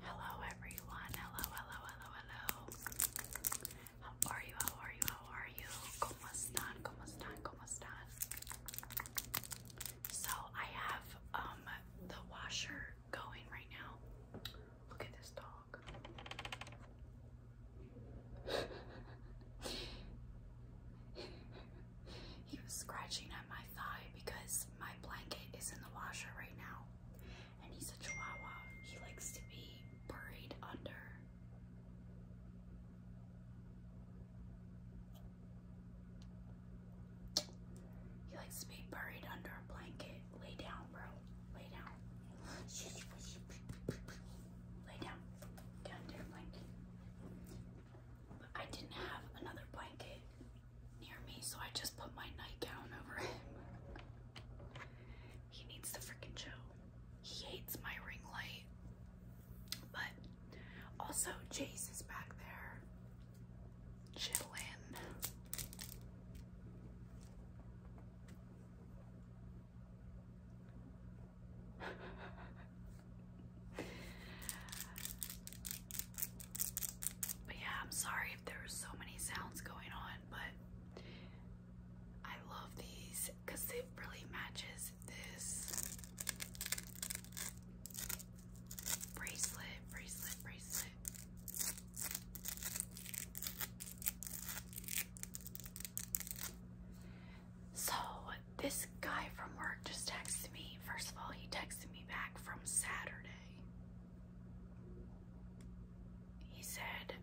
Hello everyone. Hello, hello, hello, hello. How are you? How are you? How are you? ¿Cómo están? ¿Cómo están? ¿Cómo están? So I have um, the washer going right now. Look at this dog. he was scratching at my thigh because my blanket is in the washer right now and he's a chihuahua. He likes to be buried under. He likes to be buried under a blanket. Lay down, bro. Lay down. Lay down. Get under blanket. I didn't have another blanket near me, so I just put my nightgown over him. He needs to freaking chill. He hates my ring light. But also, Jace is back there chilling. but yeah, I'm sorry there are so many sounds going on, but I love these because it really matches this bracelet, bracelet, bracelet. So this guy from work just texted me. First of all, he texted me back from Saturday. He said,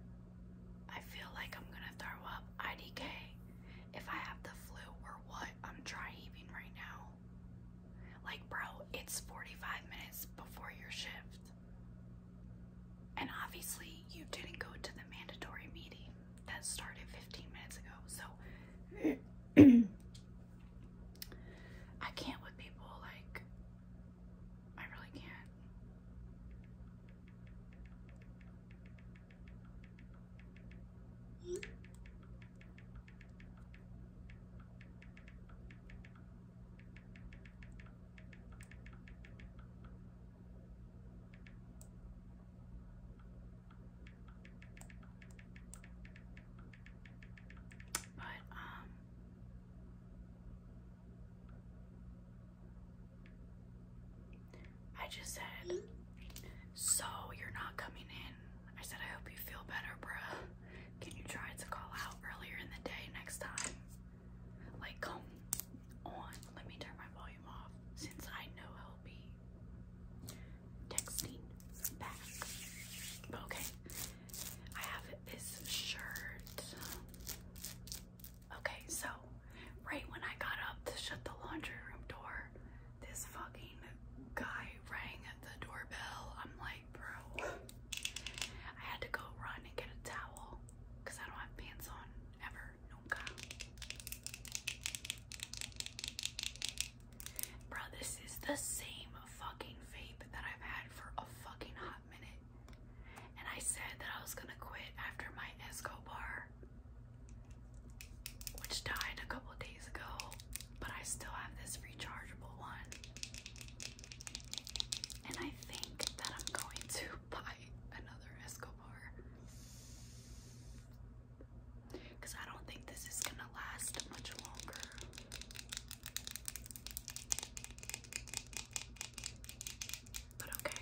I feel like I'm gonna throw up IDK if I have the flu or what. I'm dry heaving right now. Like, bro, it's 45 minutes before your shift. And obviously, you didn't go to the mandatory meeting that started 15 minutes ago. So, I can't with people like I really can't. But um I just said, so you're not coming in. I said, I hope you feel better, bruh. Can you try to call out earlier in the day next time? Like, come on. Let me turn my volume off since I know he'll be texting back. Okay, I have this shirt. Okay, so right when I got up to shut the laundry room door, this fucking guy rang at the doorbell. I'm like, bro, I had to go run and get a towel because I don't have pants on ever. Nunca. Bro, this is the same fucking vape that I've had for a fucking hot minute. And I said that I was gonna quit after my Escobar, which died a couple days ago, but I still have this rechargeable one. And I think that I'm going to buy another Escobar. Because I don't think this is gonna last much longer. But okay,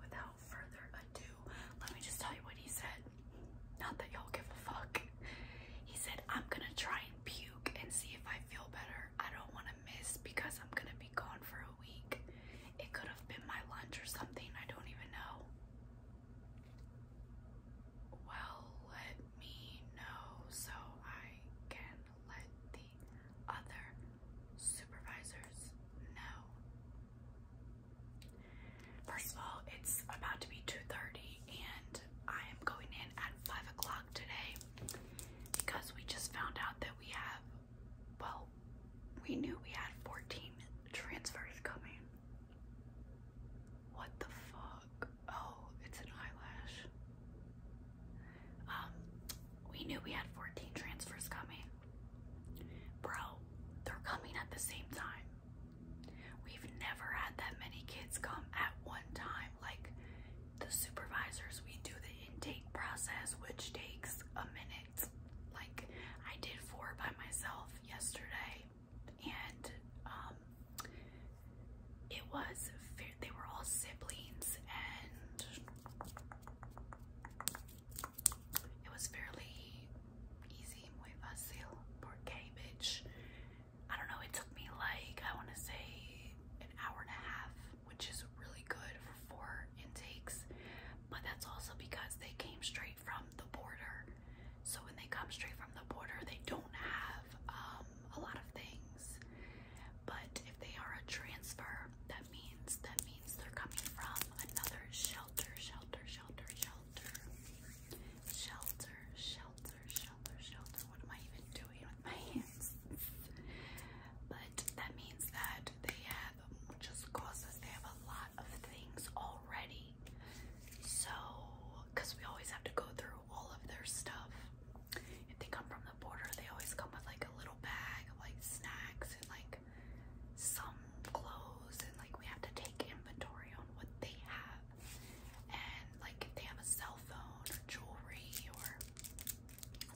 without further ado, let me just tell you what he said. Not that y'all give a fuck. He said, I'm gonna try and puke and see if I feel better. I don't wanna miss because I'm gonna be gone for a week. It could have been my lunch or something, I don't even know. Well, let me know so I can let the other supervisors know. First of all, it's about to be 2.30 and I am going in at 5 o'clock today because we just found out that we have, well, we knew we had 14 transfers coming. What the fuck? Oh, it's an eyelash. Um, we knew we had 14 transfers coming. Bro, they're coming at the same time. We've never had that many kids come at one time. Like the supervisors, we do the intake process, which takes a minute. Like I did four by myself yesterday, and um, it was they were all siblings and it was fairly easy, muy fácil, porque bitch. I don't know, it took me like, I want to say an hour and a half, which is really good for four intakes. But that's also because they came straight from the border. So when they come straight from the border, they don't have um, a lot of things. But if they are a transfer, that means that means they're coming from another shelter, shelter, shelter, shelter, shelter, shelter, shelter, shelter. What am I even doing with my hands? but that means that they have just causes they have a lot of things already. So, because we always have to go through through all of their stuff. If they come from the border, they always come with like a little bag of like snacks and like some clothes, and like we have to take inventory on what they have. And like if they have a cell phone or jewelry or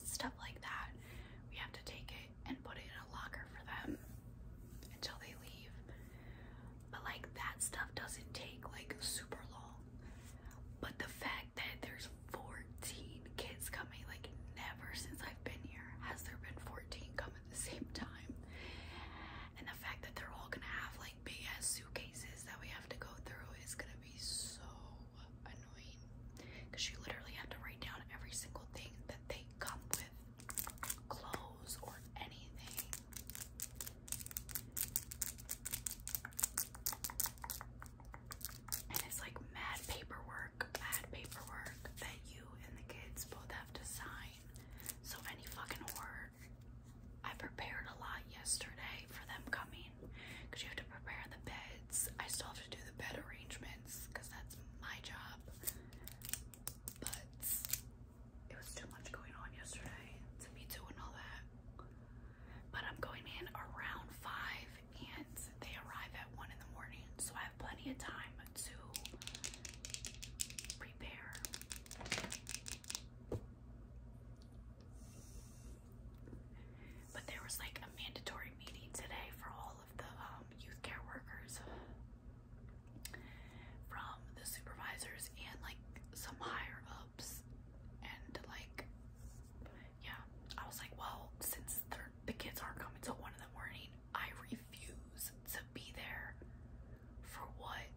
stuff like that, we have to take it and put it in a locker for them until they leave. But like that stuff doesn't take like super long. But the fact that there's 14 kids coming, like never since I've been here has there been 14 coming at the same time. And the fact that they're all gonna have like BS suitcases that we have to go through is gonna be so annoying. Cause you literally have to write down every single thing that they come with. Clothes or anything. And it's like mad paperwork, mad paperwork that you and the kids both have to sign. So any fucking word. I prepared a lot yesterday for them coming because you have to prepare the beds. I still have to do the bed arrangements because that's my job. But it was too much going on yesterday to be doing all that but I'm going in around five and they arrive at one in the morning, so I have plenty of time to prepare. But there was like a mandatory meeting today for all of the um, youth care workers from the supervisors and like some higher ups and like yeah, I was like, well, since the kids aren't coming till one in the morning, I refuse to be there for what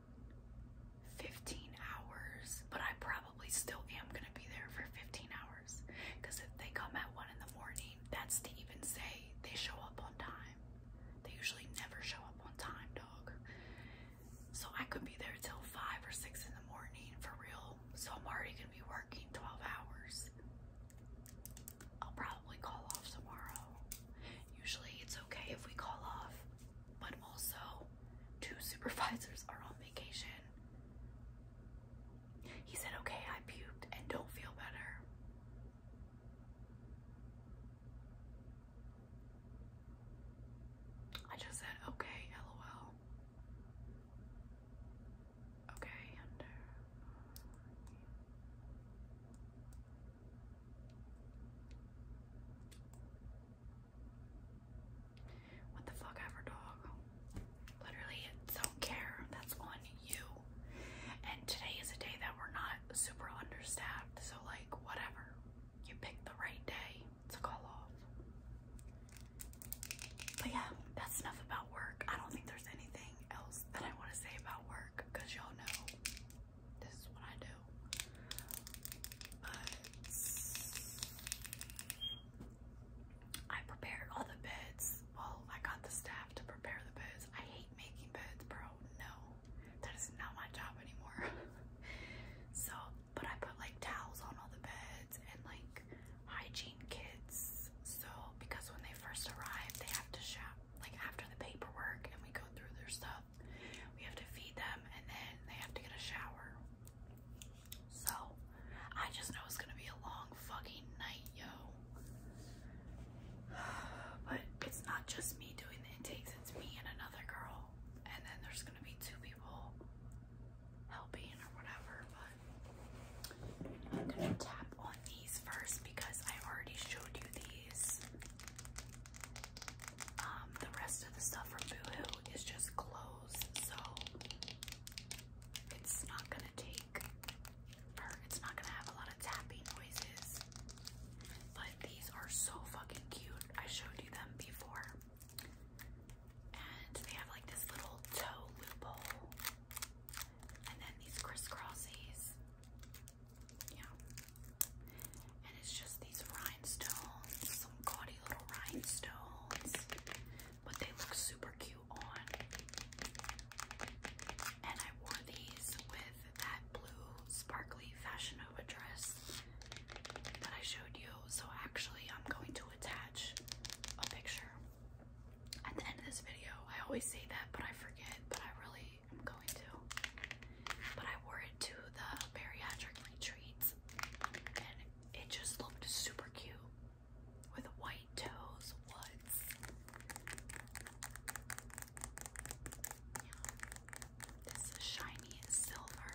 15 hours, but I probably still am gonna be there for 15 hours because if they come at one in the morning, that's to even say they show up on time. They usually never show up on time, dog. So I could be there till five or six in the morning for real. So I'm already gonna be working 12 hours. I'll probably call off tomorrow. Usually it's okay if we call off, but also two supervisors are on vacation. He said, okay, I puked and don't feel better. I just said okay, lol. Okay, under. What the fuck ever, dog? Literally, don't care. That's on you. And today is a day that we're not super understaffed, so like, whatever. You picked the right day to call off. But yeah, that's enough about work. I don't think there's anything else that I want to say about work because y'all know this is what I do. I prepared all the beds. Well, I got the staff to prepare the beds. I hate making beds, bro. No, that is not my job anymore. so but I put like towels on all the beds and like hygiene kits. So because when they first arrive, they have to shop like after the paperwork and we go through their stuff. We have to feed them and then they have to get a shower. So I just know it's gonna be a long fucking night, yo. But it's not just me doing the intakes, it's me and another girl. And then there's gonna be two people helping or whatever, but I'm gonna tap on these first because I already showed you these. Um, the rest of the stuff from Boohoo is just clothes, so it's not gonna take, it's not gonna have a lot of tapping noises. But these are so fucking cute. I showed you them before. And they have like this little toe loophole. And then these crisscrosses. Yeah. And it's just these rhinestones, some gaudy little rhinestones. But they look super cute on. And I wore these with that blue sparkly Fashion Nova dress that I showed you. So actually, I'm going to attach a picture at the end of this video. I always say that, but I forget, but I really am going to. But I wore it to the bariatric retreats, and it just looked super cute with white toes. Woods. This shiny silver.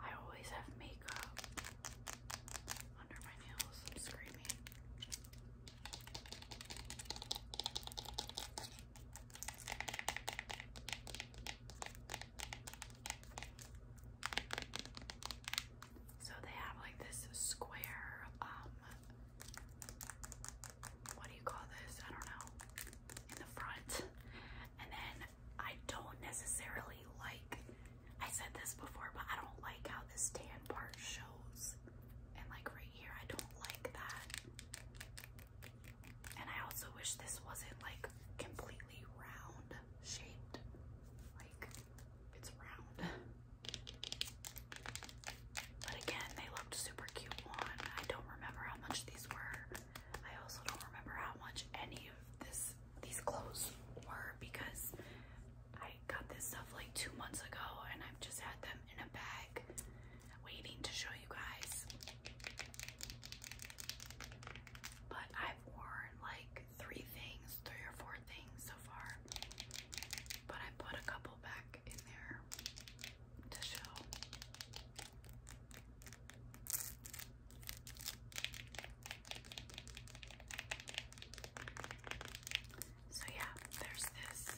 I always have makeup under my nails. screaming. So they have like this square, um, what do you call this? I don't know in the front. And then I don't necessarily like, I said this before, but I don't like how this tan part shows. And like right here, I don't like that. And I also wish this wasn't like completely round shaped. Like it's round. But again, they looked super cute on. I don't remember how much these were. I also don't remember how much any of this these clothes were because I got this stuff like two months ago and I've just had them in a bag waiting to show you guys. But I've worn like three things, three or four things so far. But I put a couple back in there to show. So, yeah, there's this.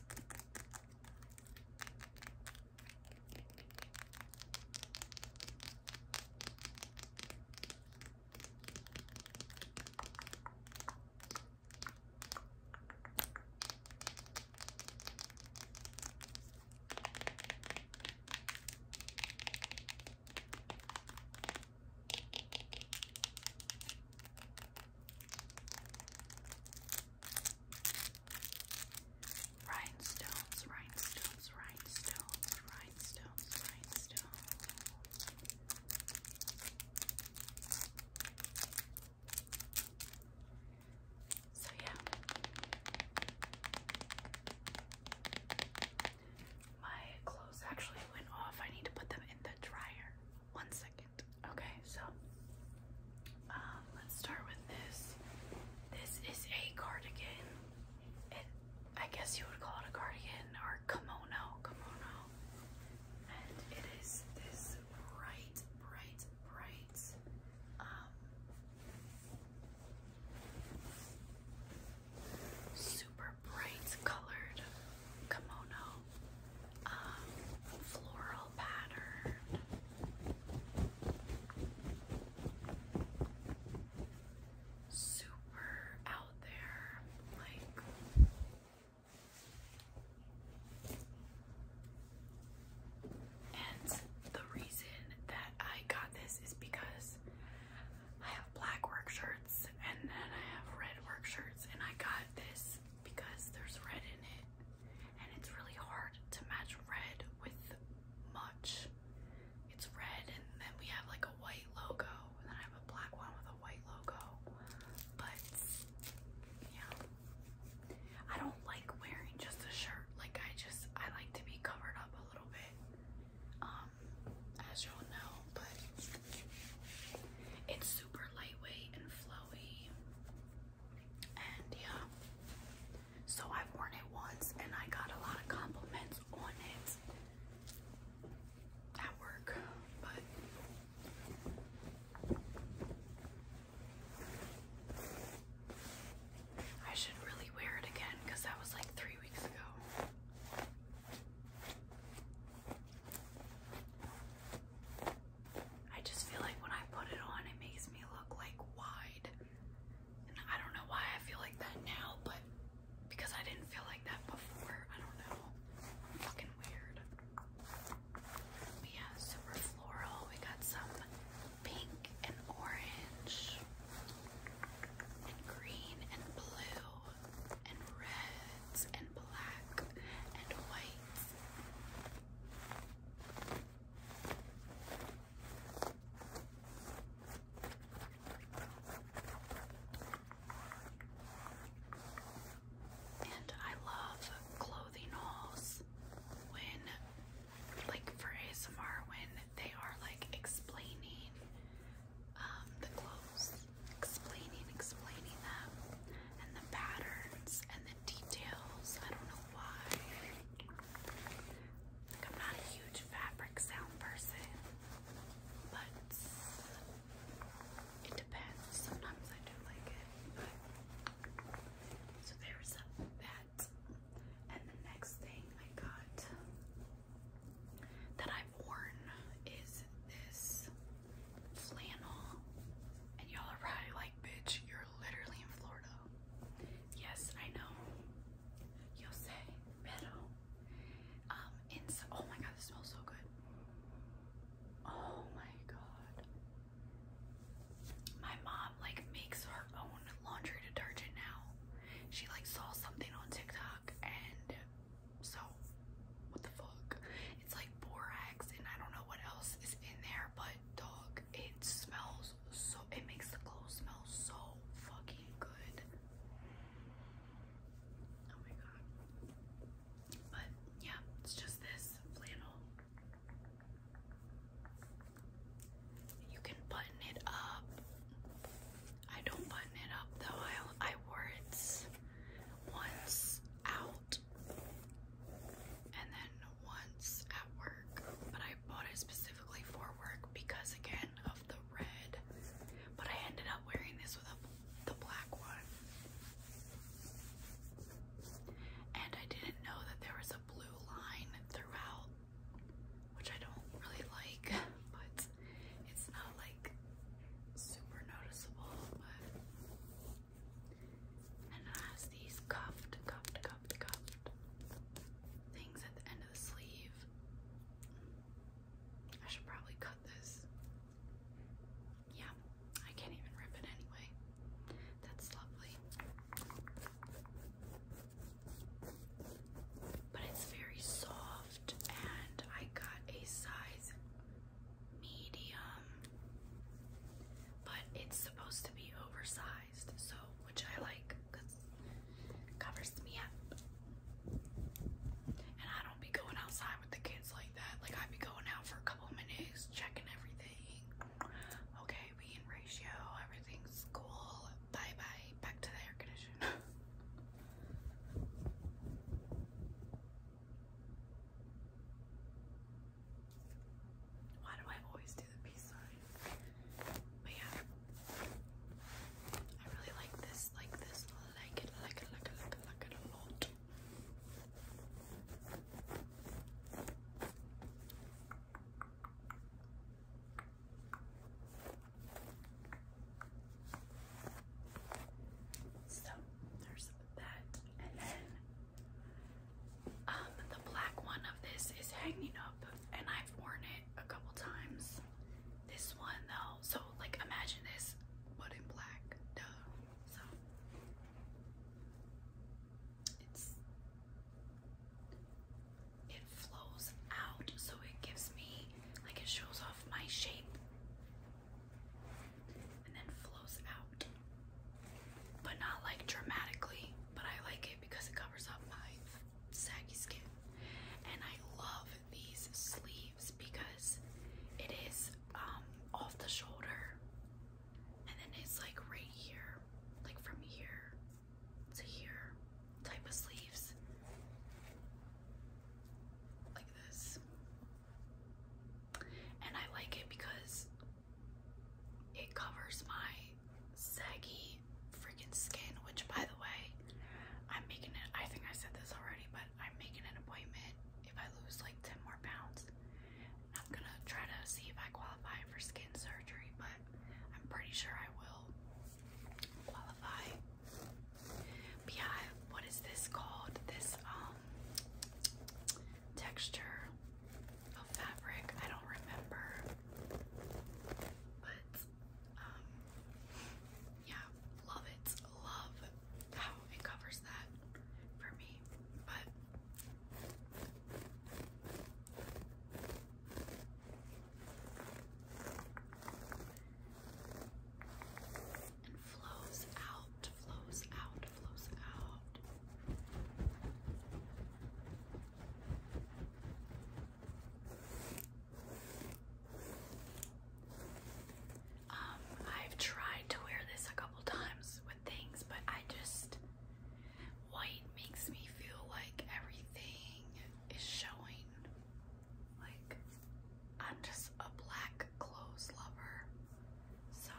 Rhinestones, rhinestones, rhinestones, rhinestones, rhinestones. So yeah. My clothes actually went off. I need to put them in the dryer. One second. Okay, so um, let's start with this. This is a cardigan. It, I guess you would call it a cardigan or kimono, kimono. And it is this bright, bright, bright um, Super bright colored kimono, um, floral pattern. Super out there, like and the reason that I got this is because I have black work shirts and then I have red work shirts and I got this because there's red in it and it's really hard to match red with much. It's red and then we have like a white logo and then I have a black one with a white logo. But yeah. I don't don't like wearing just a shirt. Like I just I like to be covered up a little bit. Um, as y'all know, but it's super lightweight and flowy. And yeah. So I've worn it once and I got a lot of compliments on it at work, but I should really wear it again because that was like three weeks ago. I just feel like when I put it on, it makes me look like wide. And I don't know why I feel like that now, but because I didn't feel like that before, I don't know. fucking weird. yeah, super floral. We got some pink and orange and green and blue and reds and black and white. And I love clothing halls when like for ASMR when they are like explaining um, the clothes, explaining, explaining them, and the patterns and the details. I don't know why. Like I'm not a huge fabric sound person, but it depends. Sometimes I do like it. So there's that. And the next thing I got that I've worn is this flannel. And y'all are probably like, bitch, you're literally in Florida. Yes, I know. You'll say, pero. Um, oh my god, this smells so good. Oh my god. My mom like makes her own laundry detergent now she like saw something on TikTok and so what the fuck? It's like borax and I don't know what else is in there, but dog, it smells so it makes the clothes smell so fucking good. Oh my god. But yeah, it's just this flannel. You can button it up. I don't button it up though. I I wore it once out and then once at work, but I bought it specifically for work because again of the red. But I ended up wearing this with the black one. And I didn't know that there was a blue line throughout which I don't really like, but it's not like super noticeable. But and it has these cuffed, cuffed, cuffed, cuffed things at the end of the sleeve. I should probably cut this. Yeah, I can't even rip it anyway. That's lovely. But it's very soft, and I got a size medium, but it's supposed to be oversized, so which I like because it covers me up. And I don't be going outside with the kids like that. Like, I'd be going out for a couple minutes, checking everything. Okay, mean ratio, everything's cool. Bye bye. Back to the air conditioner. Why do I always do the peace sign? But yeah. I really like this, like this, like it, like it, like it, like it, like it a lot. So there's that, and then um, the black one of this is hanging up, and I've worn it a couple times. This one though, so like imagine this, but in black, duh. So it flows out so it gives me like it shows off my shape and then flows out but not like dramatically but I like it because it covers up my saggy skin and I love these sleeves because it is um, off the shoulder and then it's like right here like from here to here type of sleeves like this and I like it because it covers my saggy freaking skin which by the way I'm making it I think I said this already but I'm making an appointment if I lose like 10 more pounds I'm gonna try to see if I qualify for skin surgery but I'm pretty sure I will qualify. yeah, what is this called? This um texture of fabric. I don't remember. But um yeah, love it. Love how it covers that for me. But and flows out, flows out, flows out. Um, I've tried to wear this a couple times with things, but I just white makes me feel like everything is showing like, I'm just a black clothes lover. So,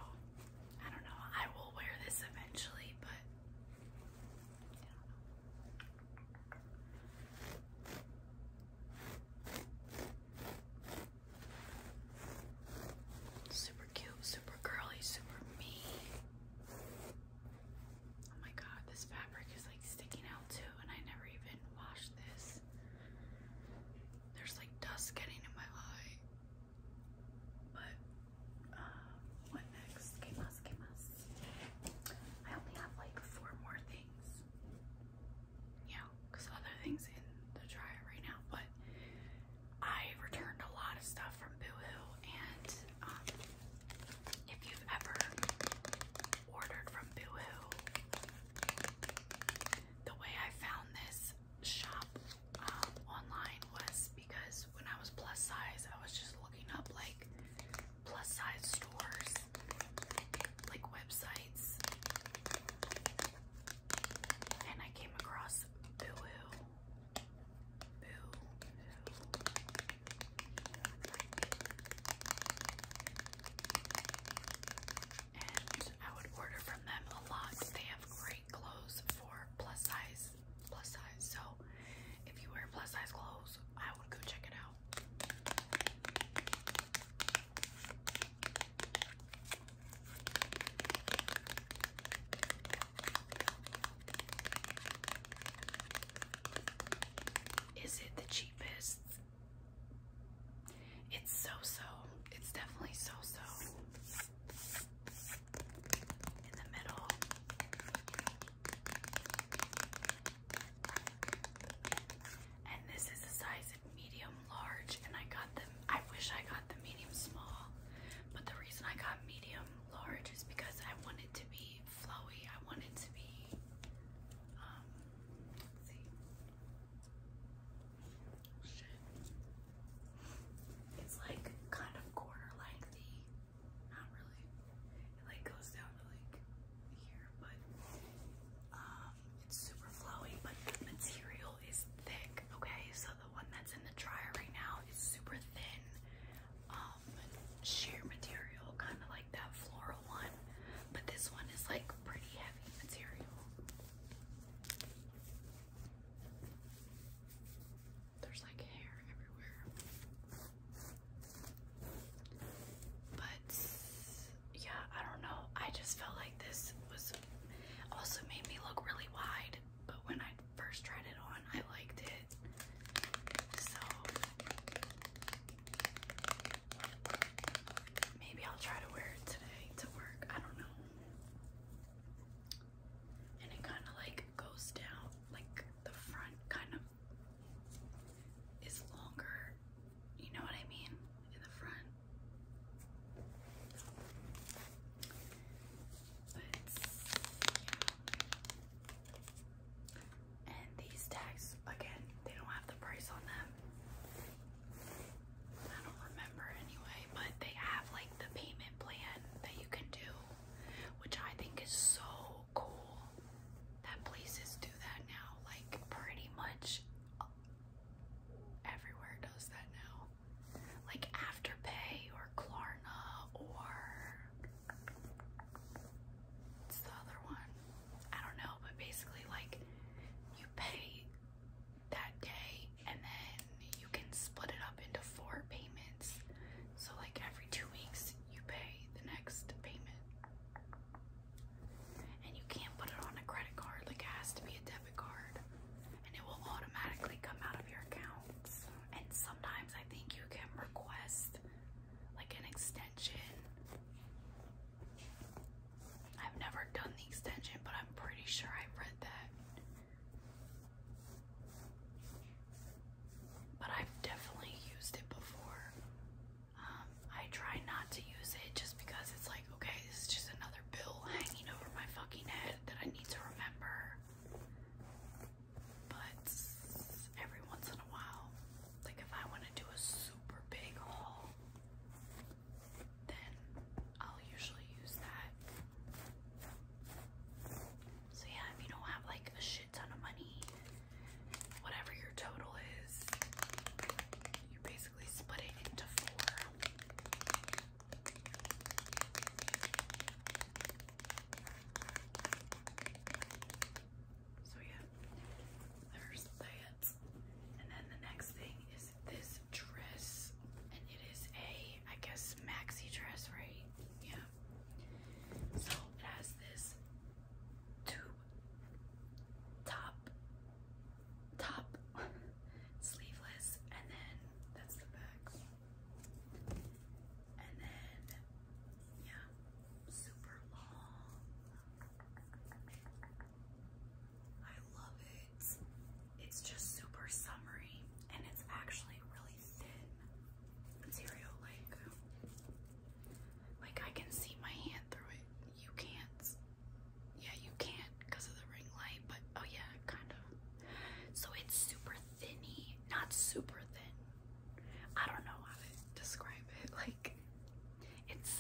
I don't know. I will wear this eventually, but Super cute, super girly, super me. Oh my god, this fabric is like sticking out too, and I never even washed this. There's like dust getting in my eye. But, uh, what next? Que mas, que mas? I only have like four more things. Yeah, because other things in the dryer right now, but I returned a lot of stuff from Boohoo and um, if you've ever ordered from Boohoo, the way I found this shop um, online was because when I was plus size, I was just looking up like plus size stores, like websites, and I came across Boohoo. I would order from them a lot. They have great clothes for plus size, plus size. So if you wear plus size clothes, I would go check it out. Is it the cheapest? It's so-so. It's definitely so-so. In the middle. And this is the size of medium large and I got them I wish I got the medium small. But the reason I got medium large is because I wanted to be flowy. I want it to be, um, Shit. It's like kind of quarter lengthy. Not really. It like goes down to like here, but um, it's super flowy, but the material is thick, okay? So the one that's in the dryer right now is super thin um, sheer material, kind of like that floral one, but this one is like pretty heavy material. There's like hair everywhere. But yeah, I don't know. I just felt like this was also made me look really wide, but when I first tried it on, I liked it. So Maybe I'll try to wear it today to work. I don't know. And it kind of like goes down, like the front kind of is longer. You know what I mean? In the front. But and these tags, again, they don't have the price on them. I don't remember anyway, but they have like the payment plan that you can do, which I think is so cool that places do that now. Like, pretty much everywhere does that now. Like, Afterpay or Klarna or. It's the other one. I don't know, but basically like you pay that day and then you can split it up into four payments. So like every two weeks you pay the next payment. And you can't put it on a credit card, like it has to be a debit card. And it will automatically come out of your accounts. And sometimes I think you can request like an extension I've never done the extension, but I'm pretty sure I've read that. But I've definitely used it before. Um, I try not to use it just because it's like, okay, this is just another bill hanging over my fucking head that I need to remember. But every once in a while, like if I want to do a super big haul, then I'll usually use that. So yeah, if you don't have like a shit ton of money, whatever your total is, you basically split it into four. So yeah, there's that. And then the next thing is this dress. And it is a, I guess, maxi dress, right? Yeah. So it has this tube top, top, sleeveless, and then that's the back. And then, yeah, super long. I love it. It's just super summery and it's actually really thin material. Like, like I can see my hand through it. You can't. Yeah, you can because of the ring light. But oh yeah, kind of. So it's super thinny, not super thin, I don't know how to describe it. Like it's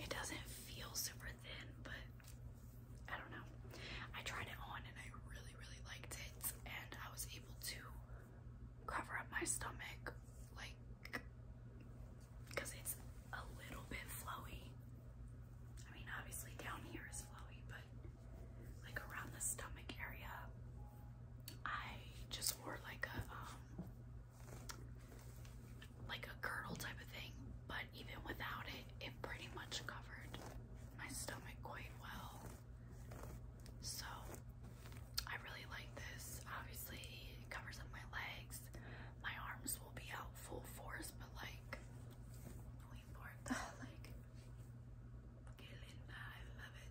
it doesn't feel super thin, but I don't know. I tried it on and I really really liked it and I was able to cover up my stomach like because it's a little bit flowy. I mean obviously down here is flowy but like around the stomach area I just wore like a um, like a girdle type of thing, but even without it, it pretty much covered my stomach quite well. So I really like this. Obviously, it covers up my legs. My arms will be out full force, but like, lean like, okay, Linda, I love it.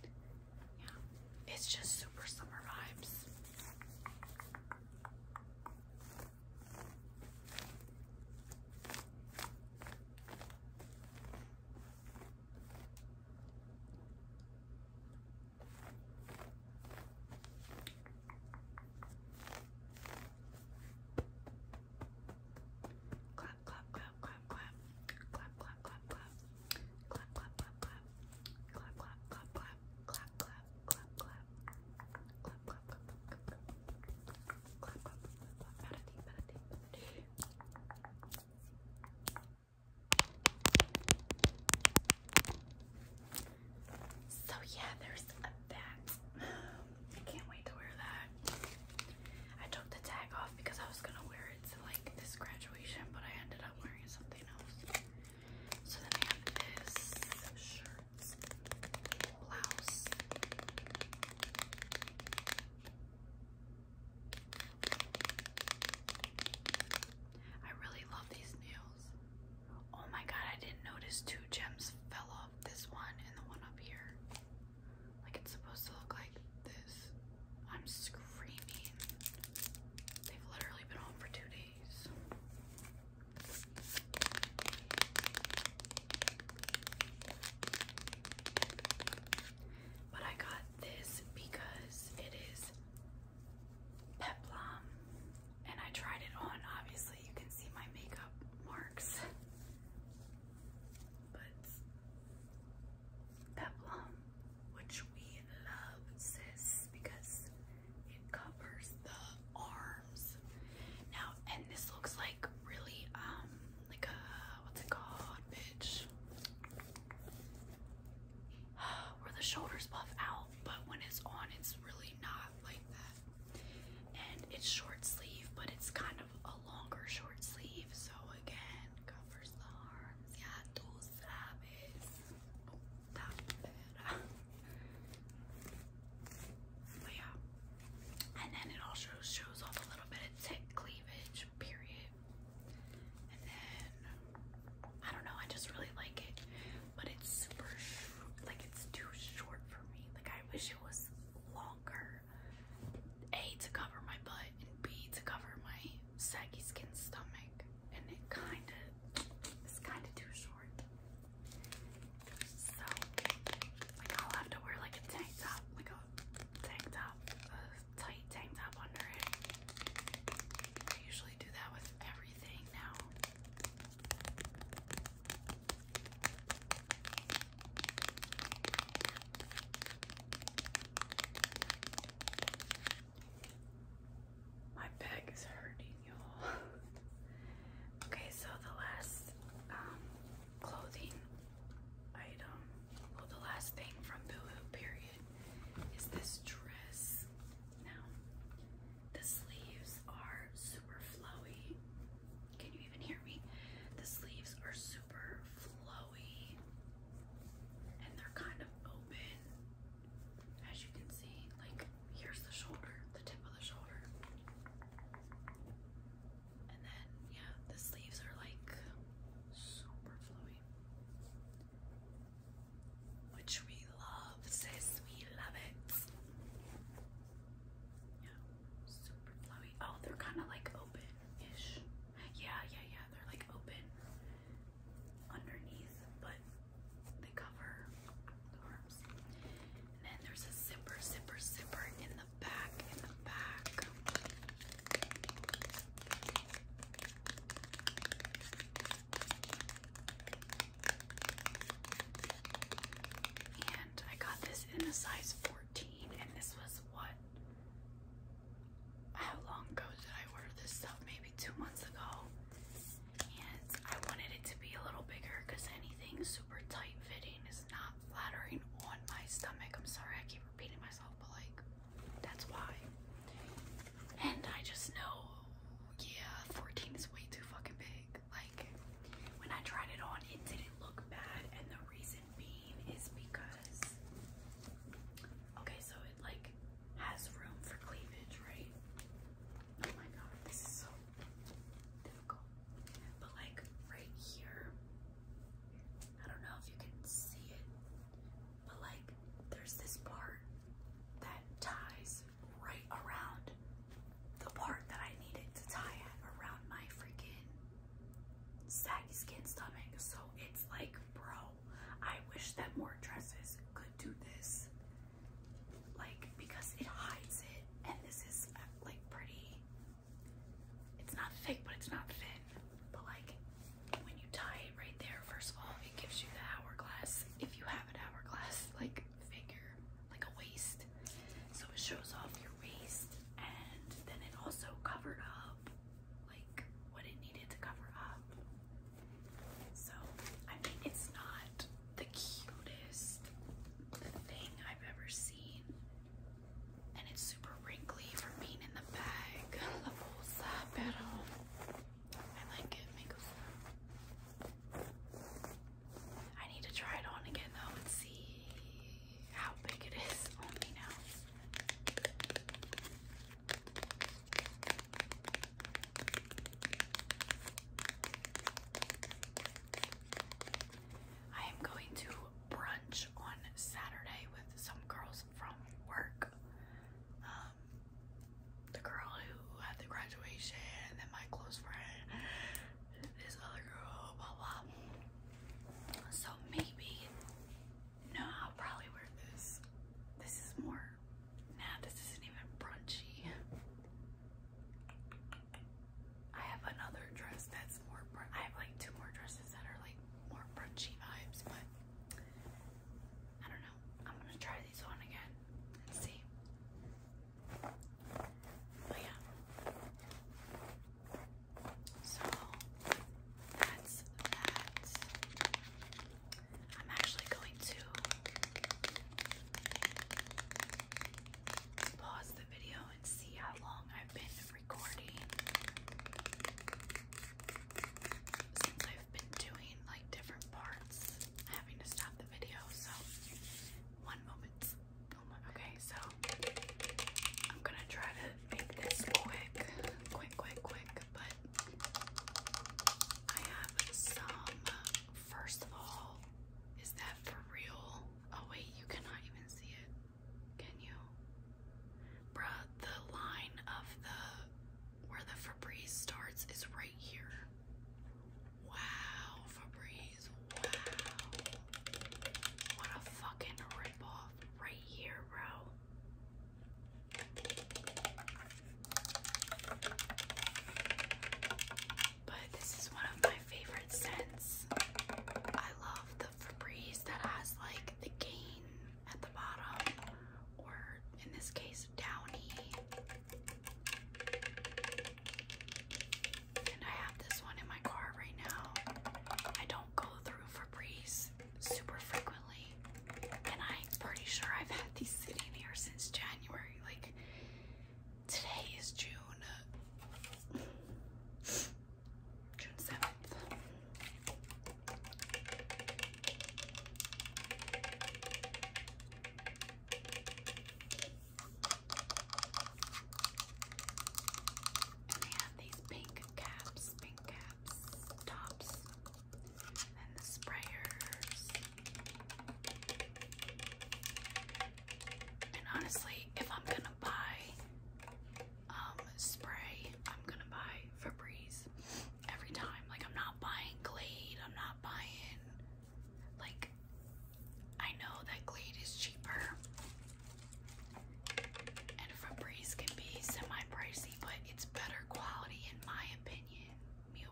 Yeah, it's just super summer vibes. Clap, clap, So yeah, there's that. I can't wait to wear that. I took the tag off because I was gonna wear it to like this graduation, but I ended up wearing something else. So then I have this shirt, blouse. I really love these nails. Oh my god, I didn't notice two gems fell off this one and the one up here. Like it's supposed to look like this. I'm screaming. They've literally been home for two days. But I got this because it is peplum and I tried it on. Obviously, you can see my makeup marks but peplum, which we love, sis, because it covers the arms. Now, and this looks like really, um, like a what's it called, bitch? Where the shoulders puff out, but when it's on, it's really not like that. And it's short sleeve, but it's kind of a longer short sleeve, so again, covers the arms. Yeah, tú sabes. But yeah, and then it also shows off a little bit of thick cleavage, period. And then I don't know, I just really like it, but it's super, like it's too short for me. Like I wish it was longer. A to cover my butt and B to cover my saggy skin stomach. And it kind of is kind of too short. So, I'll have to wear like a tank top, like a tank top, a tight tank top under it. I usually do that with everything now. My back is hurting, y'all. okay, so the last um, clothing item, well, the last thing from Boohoo, period, is this dress. Now, the sleeves are super flowy. Can you even hear me? The sleeves are super super flowy and they're kind of open. As you can see, like here's the shoulder, the tip of the shoulder. And then, yeah, the sleeves are like super flowy. Which we love, sis. We love it. Yeah, super flowy. Oh, they're kind of like open ish. Yeah, yeah, yeah. They're like open underneath, but they cover the arms. And then there's a zipper, zipper, zipper in the back, in the back. And I got this in a size 14, and this was what how long ago did I order this stuff? Maybe two months ago. And I wanted it to be a little bigger because anything super tight fitting is not flattering on my stomach. I'm sorry I keep repeating myself, but like that's why. And I just know, yeah, 14 is way too fucking big. Like when I tried it on, it didn't look bad, and the reason reason is because okay, so it like has room for cleavage, right? Oh my god, this is so difficult. But like right here, I don't know if you can see it, but like there's this part that ties right around the part that I needed to tie at around my freaking saggy skin stomach. So it's like, bro, I wish that more dresses could do this. Like, because it hides it, and this is uh, like pretty. It's not thick, but it's not thin. But like, when you tie it right there, first of all, it gives you the hourglass. If you have an hourglass, like figure, like a waist, so it shows off your waist, and then it also covers up like what it needed to cover up. So I mean it's not the cutest thing I've ever seen. And it's super wrinkly from being in the bag. La bolsa, pero I like it. Me I need to try it on again though and see how big it is on me now. I am going to brunch on Saturday with some girls from work. Um, the girl who had the graduation, then my close friend, this other girl, blah blah. So maybe no, I'll probably wear this. This is more, nah, this isn't even brunchy. I have another dress that's more, I have like two more dresses that are like more brunchy vibes, but I don't know. I'm gonna try these on again see. But yeah, so that's that. I'm actually going to pause the video and see how long I've been recording since I've been doing like different parts, having to stop the video. So, one moment. Oh okay, so I'm gonna try to make this quick, quick, quick, quick, but I have some. First of all, is that for real? Oh, wait, you cannot even see it. Can you? Bruh, the line of the where the Febreze starts is right here. Wow, Febreze. Wow. What a fucking ripoff. Right here, bro. But this is one of my favorite scents. I love the Febreze that has like the gain at the bottom, or in this case, downy. And I have this one in my car right now. I don't go through Febreze super frequently, and I'm pretty sure I've had these sitting here since January. Like, today is June, uh, June 7th. And have these pink caps, pink caps tops, and the sprayers. And honestly, if I'm gonna buy um spray, I'm gonna buy Febreze every time. Like I'm not buying Glade, I'm not buying like I know that Glade is cheaper, and Febreze can be semi-pricey, but it's better quality in my opinion. Me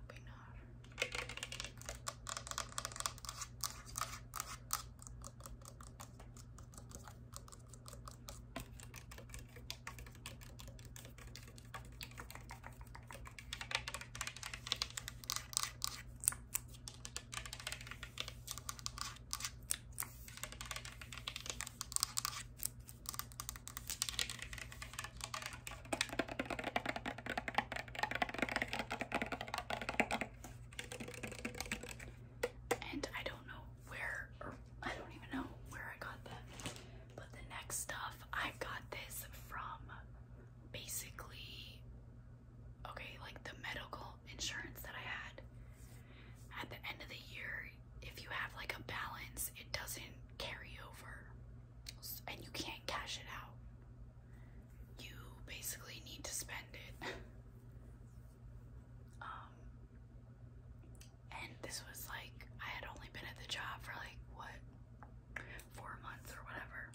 and I don't know where, I don't even know where I got that. But the next stuff, I got this from basically, okay, like the medical insurance that I had at the end of the year, if you have like a balance, it doesn't carry over and you can't cash it out. You basically need to spend it. Um, and this was like, I had only been at the job for like what, four months or whatever.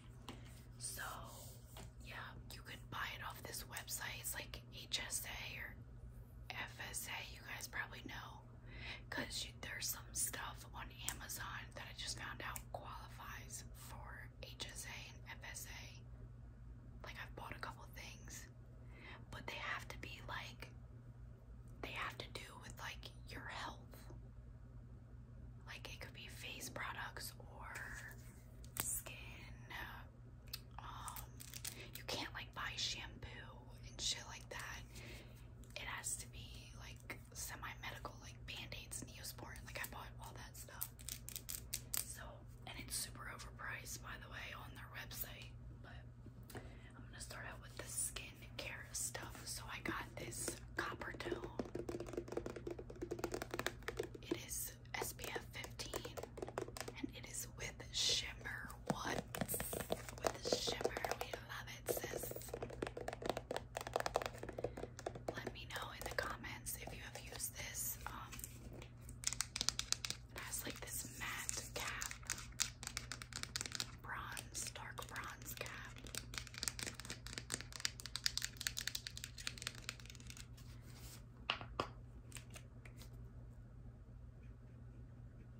So, yeah, you could buy it off this website. It's like HSA or FSA, you guys probably know, because there's some stuff on Amazon that I just found out qualifies for HSA and FSA. Like, I've bought a couple things, but they have to be like, they have to do with like your health. Like, it could be face products or skin, uh, um, you can't like buy shampoo and shit like that. It has to be like semi-medical, like band-aids, Neosporin. Like I bought all that stuff. So, and it's super overpriced, by the way, on their website. But I'm gonna start out with the skin care stuff. So I got this copper tone. It is SPF 15. And it is with shimmer. What? With shimmer. We love it, sis. Let me know in the comments if you have used this. Um, has like this matte cap, bronze, dark bronze cap.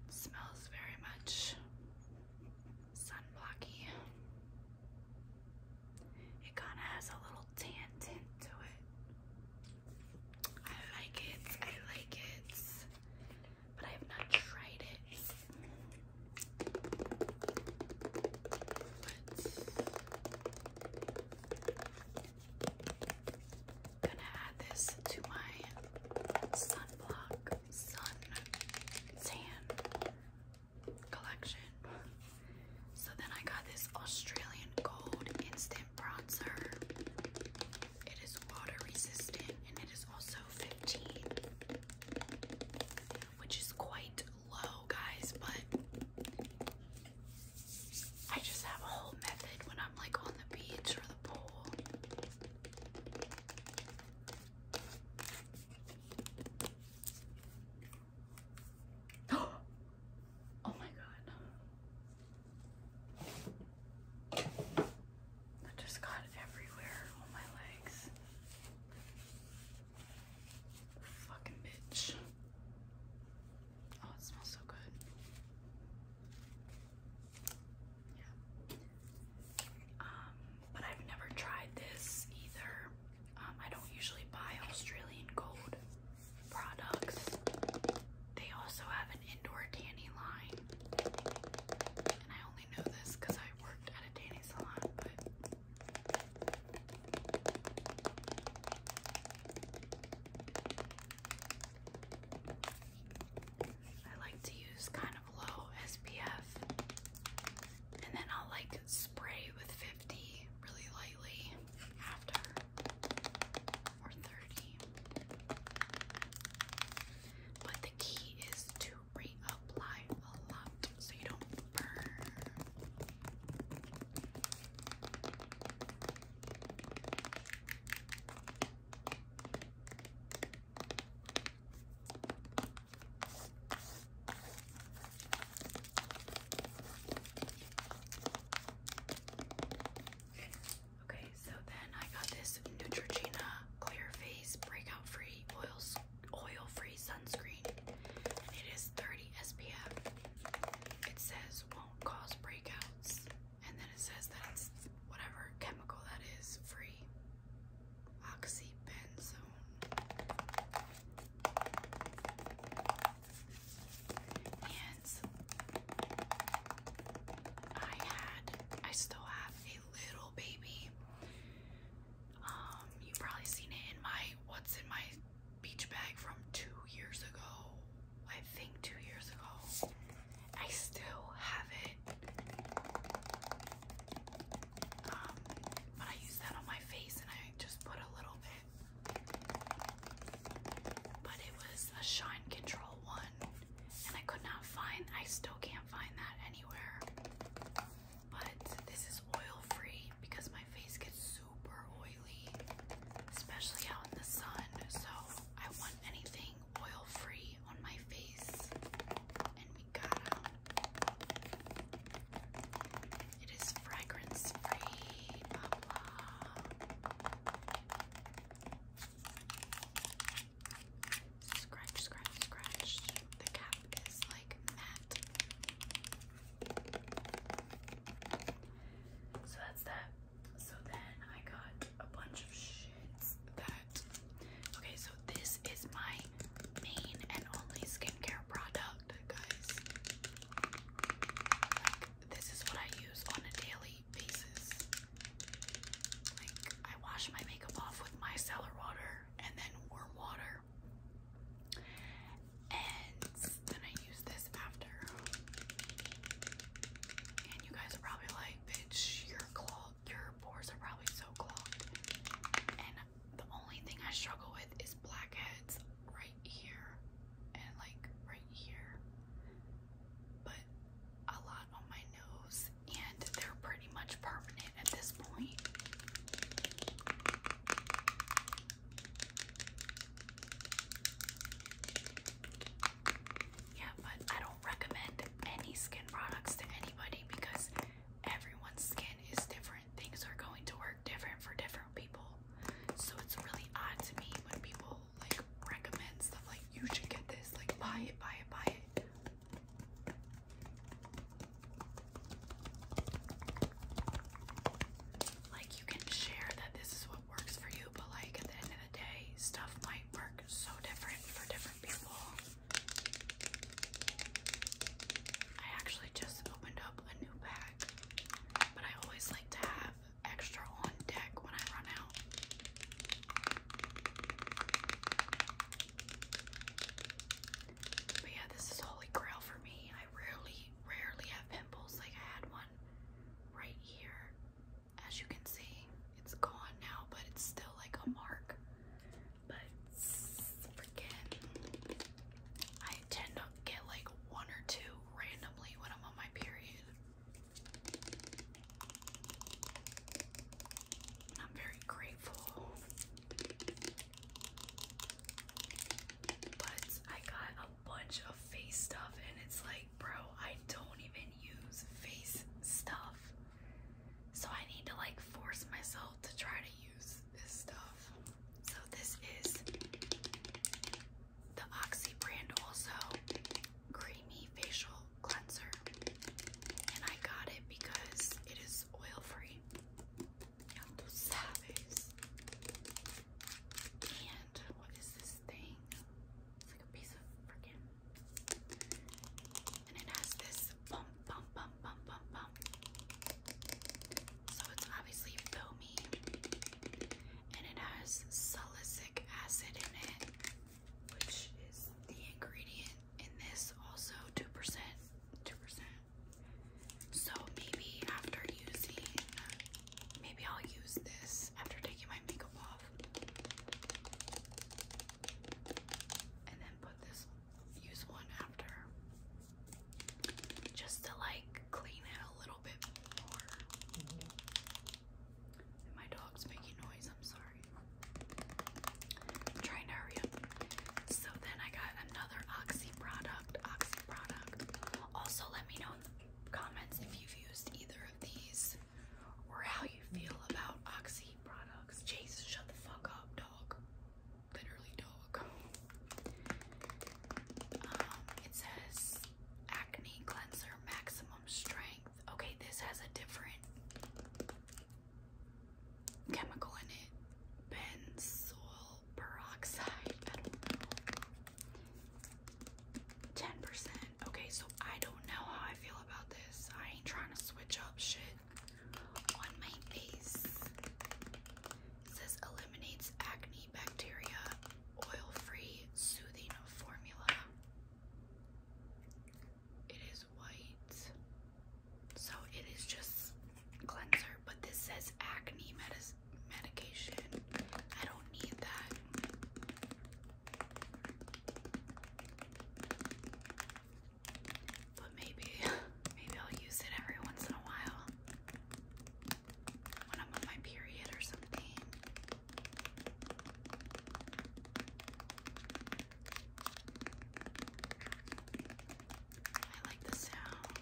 Smells very much sunblocky. It kind of has a little tan tint to it. I like it. I like it. But I have not tried it gonna add this to my sunblock, sun tan collection. So then I got this Australian Gold Instant Bronzer. It is water resistant and it is also 15, which is quite low, guys, but I just have a whole method when I. I'm like on the beach or the pool. oh my god. That just got everywhere on my legs. Fucking bitch. Oh, it smells so good. Um, but I've never tried this either. Um, I don't usually buy Australian Gold products. They also have an indoor tanning line. And I only know this because I worked at a tanning salon, I like to use kind of low SPF and then I'll like spray with 50 really lightly after or 30. But the key is to reapply a lot so you don't burn. Okay, so then I got this Neutrogena Clear Face Breakout Free Oil Oil Free Sunscreen, it is 30 SPF. It says won't cause breakouts. And then it says that it's whatever chemical that is free. Oxybenzone. And I had, I still have a little baby. Um, you've probably seen it in my what's in my beach bag from two years ago I think two years ago. I still have it. Um, but I use that on my face and I just put a little bit. But it was a shine control one and I could not find I still can't find that anywhere. But this is oil free because my face gets super oily, especially out in the sun. So I want anything oil free on my face, and we got it is fragrance free. Blah blah. Scratch, The cap is like matte. So that's that. So then I got a bunch of shits that okay, so this is my main and only skincare product, guys. this is what I use on a daily basis. Like I wash my makeup off with my micellar water and then warm water. And then I use this after. And you guys are probably like bitch, your clog, your pores are probably so clogged. And the only thing I struggle with is blackheads right here and like right here. But a lot on my nose, and they're pretty much permanent at this point. Yeah, but I don't recommend any skin products to anybody because everyone's skin is different. Things are going to work different for different people. So it's really odd to me when people like recommend stuff like you should get this, like buy it, buy it, buy it. Like you can share that this is what works for you, but like at the end of the day, stuff might work so different for different people. I actually just opened up a new pack, but I always like to have extra on deck when I run out. But yeah, this is holy grail for me. I rarely, rarely have pimples. Like I had one right here as you can see, it's gone now, but it's still like a mark. But freaking, I tend to get like one or two randomly when I'm on my period. I'm very grateful. But I got a bunch of face stuff, and it's like, bro, I don't even use face stuff. So I need to like force myself to try to use this stuff. So this is the Oxy brand also creamy facial cleanser. And I got it because it is oil free. And what is this thing? It's like a piece of freaking and it has this bump, bump, bump, bump, bump, bump. So it's obviously foamy. And it has salicylic acid in it, which is the ingredient in this, also 2%. 2%. So maybe after using, maybe I'll use this after taking my makeup off and then put this use one after just to like clean it a little bit more mm-hmm. my dog's making noise I'm sorry trying to hurry up so then I got another oxy product oxy product also let me know in the comments if you've used either of these or how you feel about Oxy products. Chase, shut the fuck up, dog. Literally, dog. Um, it says acne cleanser maximum strength. Okay, this has a different chemical in it. Benzoyl peroxide. 10% Okay, so I don't know how I feel about this. I ain't trying to switch up shit on my face. It eliminates acne bacteria, oil-free soothing formula. It is white. So it is just cleanser, but this says acne medis I don't need that. But maybe, maybe I'll use it every once in a while when I'm on my period or something. I like the sound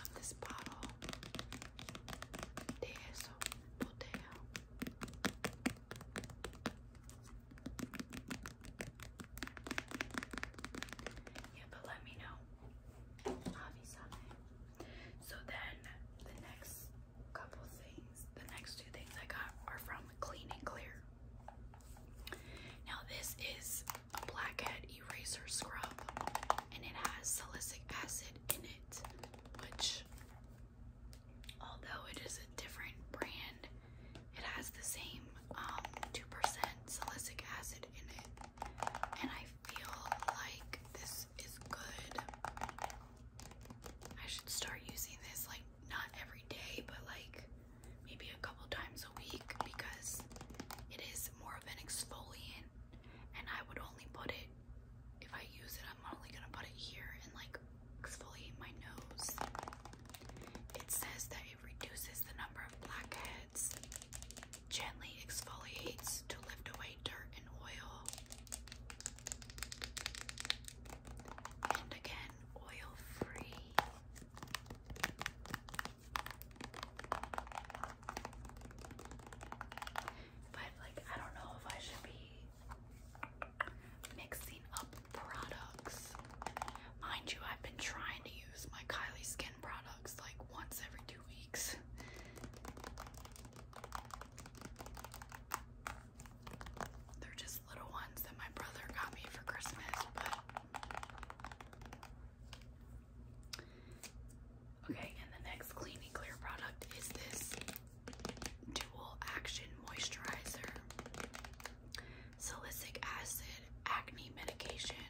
of this bottle. Yeah, but let me know. So then the next couple things, the next two things I got are from Clean and Clear. Now this is a blackhead eraser scrub and it has salicylic acid in it, which Although it is a different brand, it has the same 2% um, salicylic acid in it. And I feel like this is good. I should start using this like not every day, but like maybe a couple times a week because it is more of an exfoliant. And I would only put it if I use it I'm only gonna put it here and like exfoliate my nose. It says that it reduces the number of blackheads, gently exfoliates to lift away dirt and oil. And again, oil free. But like I don't know if I should be mixing up products. Mind you, I've been trying to use my Kylie skin products like once every two weeks. They're just little ones that my brother got me for Christmas, but. Okay, and the next cleaning clear product is this Dual Action Moisturizer, Salicylic Acid Acne Medication,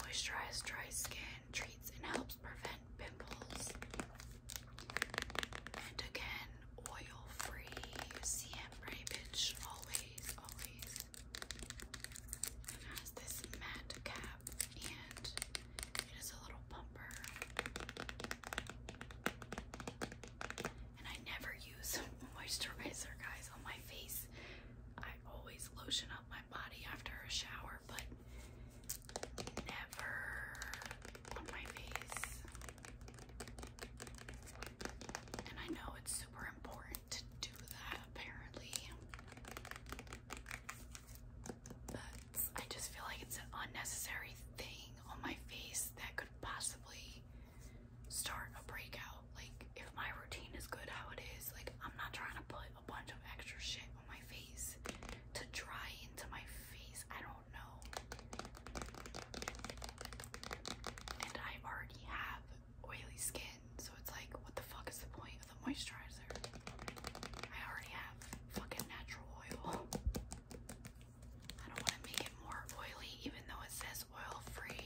moisturizes Dry Skin, Treats and Helps Prevent Pimples, and again, Oil Free CM Ray always, always. It has this matte cap and it is a little bumper. And I never use moisturizer, guys, on my face. I always lotion up my body after a shower, but never on my face. And I know it's super important to do that, apparently. I just feel like it's an unnecessary thing on my face that could possibly start a breakout. Like, if my routine is good how it is, like, I'm not trying to put a bunch of extra shit on my face to dry into my face. I don't know. And I already have oily skin, so it's like, what the fuck is the point of the moisturizer? I already have fucking natural oil. I don't want to make it more oily, even though it says oil free.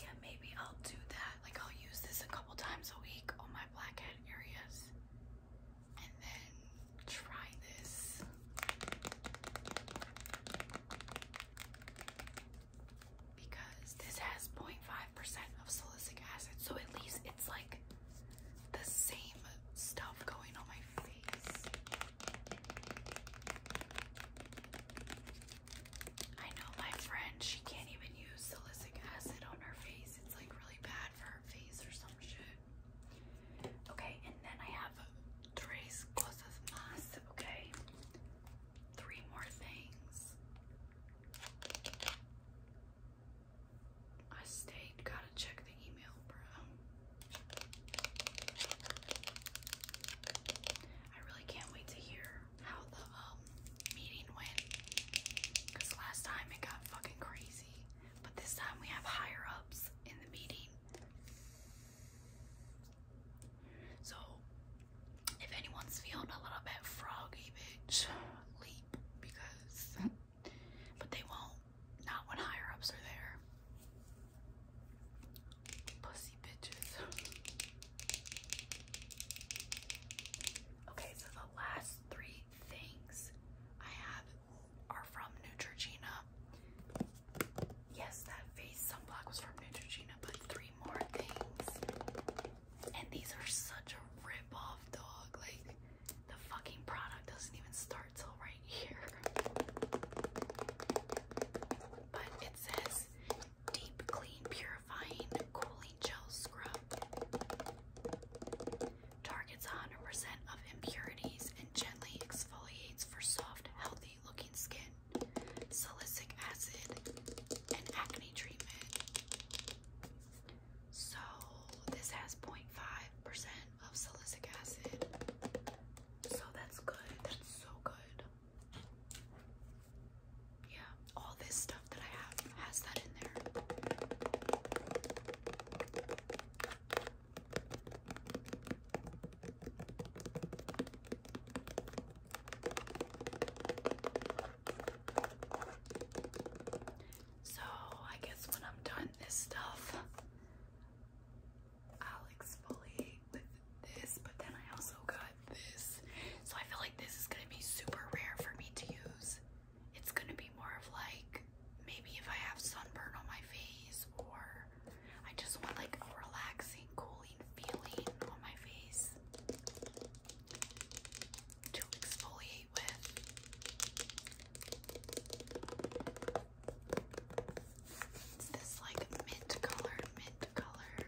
Yeah, maybe I'll do that. Like, I'll use this a couple times a week on my blackhead areas and then try this because this has 0.5% of salicylic acid, so at least it's like the same stuff going on my face. I know my friend, she can't even use salicylic acid on her face. It's like really bad for her face or some shit. Okay, and then I have tres cosas más, okay? Three more things. I stayed. Gotta check the email, bro. I really can't wait to hear how the um, meeting went. Cause last time it got fucking crazy, but this time we have higher ups in the meeting. So if anyone's feeling a little bit froggy, bitch, leap because, but they won't. Not when higher ups are there. Pussy bitches. Okay, so the last three things I have are from Neutrogena. Yes, that face sunblock was from Neutrogena, but three more things and these are such a rip-off dog. Like the fucking product doesn't even start till right here. But it says deep clean purifying cooling gel scrub. Targets 100% of impurities and gently exfoliates for soft, healthy looking skin. Salicylic acid and acne treatment. So this has 0.5% of salicylic acid. So that's good. That's so good. Yeah, all this stuff that I have has that in there. So I guess when I'm done this stuff, I'll exfoliate with this, but then I also got this. So I feel like this is gonna be super rare for me to use. It's gonna be more of like maybe if I have sunburn on my face or I just want like a relaxing, cooling feeling on my face to exfoliate it's this like mint color, mint color.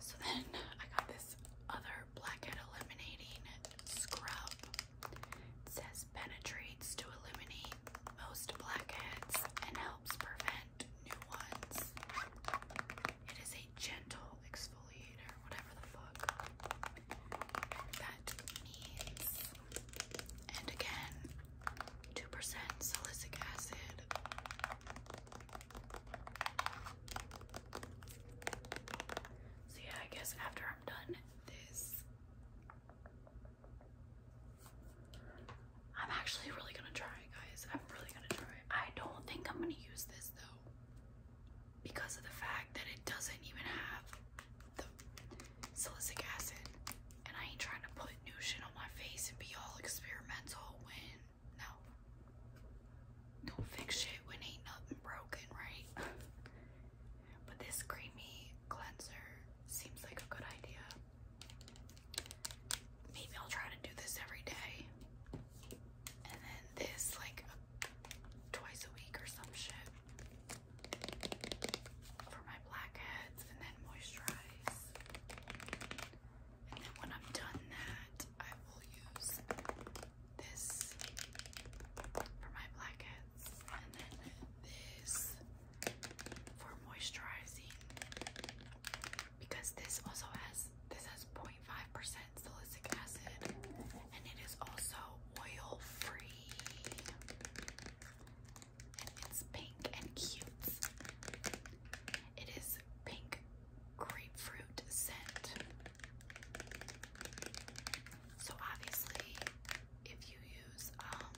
So then I got this other blackhead eliminating scrub says penetrates to eliminate most blackheads and helps prevent new ones. It is a gentle exfoliator, whatever the fuck that means. And again, 2% salicylic acid. So yeah, I guess after I'm done this, I'm actually really gonna try it, guys. I'm really gonna try I don't think I'm gonna use this though, because of the fact that it doesn't even have the salicylic acid, and I ain't trying to put new shit on my face and be all experimental when no. Don't fix shit when ain't nothing broken, right? But this creamy cleanser seems like a good idea. Maybe I'll try to do this every day. And then this like twice a week or some shit. For my blackheads and then moisturize. And then when I'm done that, I will use this for my blackheads, and then this for moisturizing because this also has this has 0.5% salicylic acid and it is also oil free and it's pink and cute it is pink grapefruit scent so obviously, if you use, um,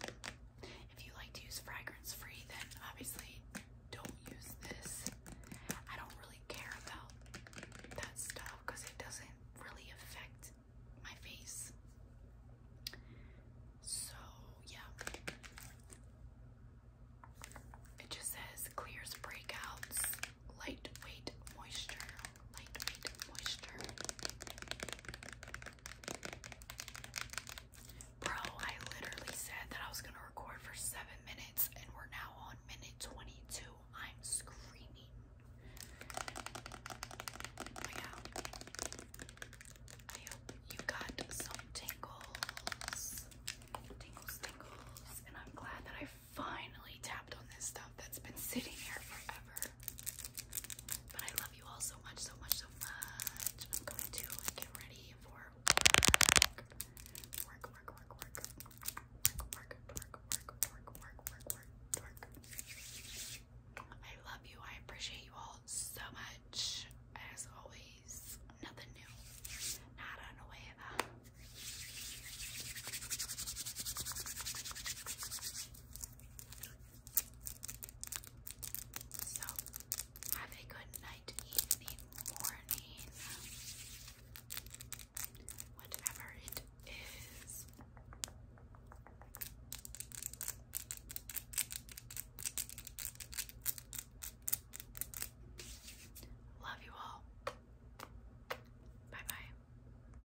if you like to use fragrance free, then obviously don't use this. I don't really care about that stuff because it doesn't really affect my face. So yeah. It just says clears breakouts lightweight moisture, lightweight moisture. Bro, I literally said that I was gonna record for seven minutes, and we're now on minute 22. I'm screaming. yeah, you got some tingles, tingles, tingles, and I'm glad that I finally tapped on this stuff that's been sitting here forever. But I love you all so much, so much, so much. I'm going to get ready for work, work, work, work, work, work, work, work, work, work, work, work, work. I love you. I appreciate you all so much. As always, nothing new. Nada nueva. So, have a good night, evening, morning, whatever it is. Love you all. Bye bye.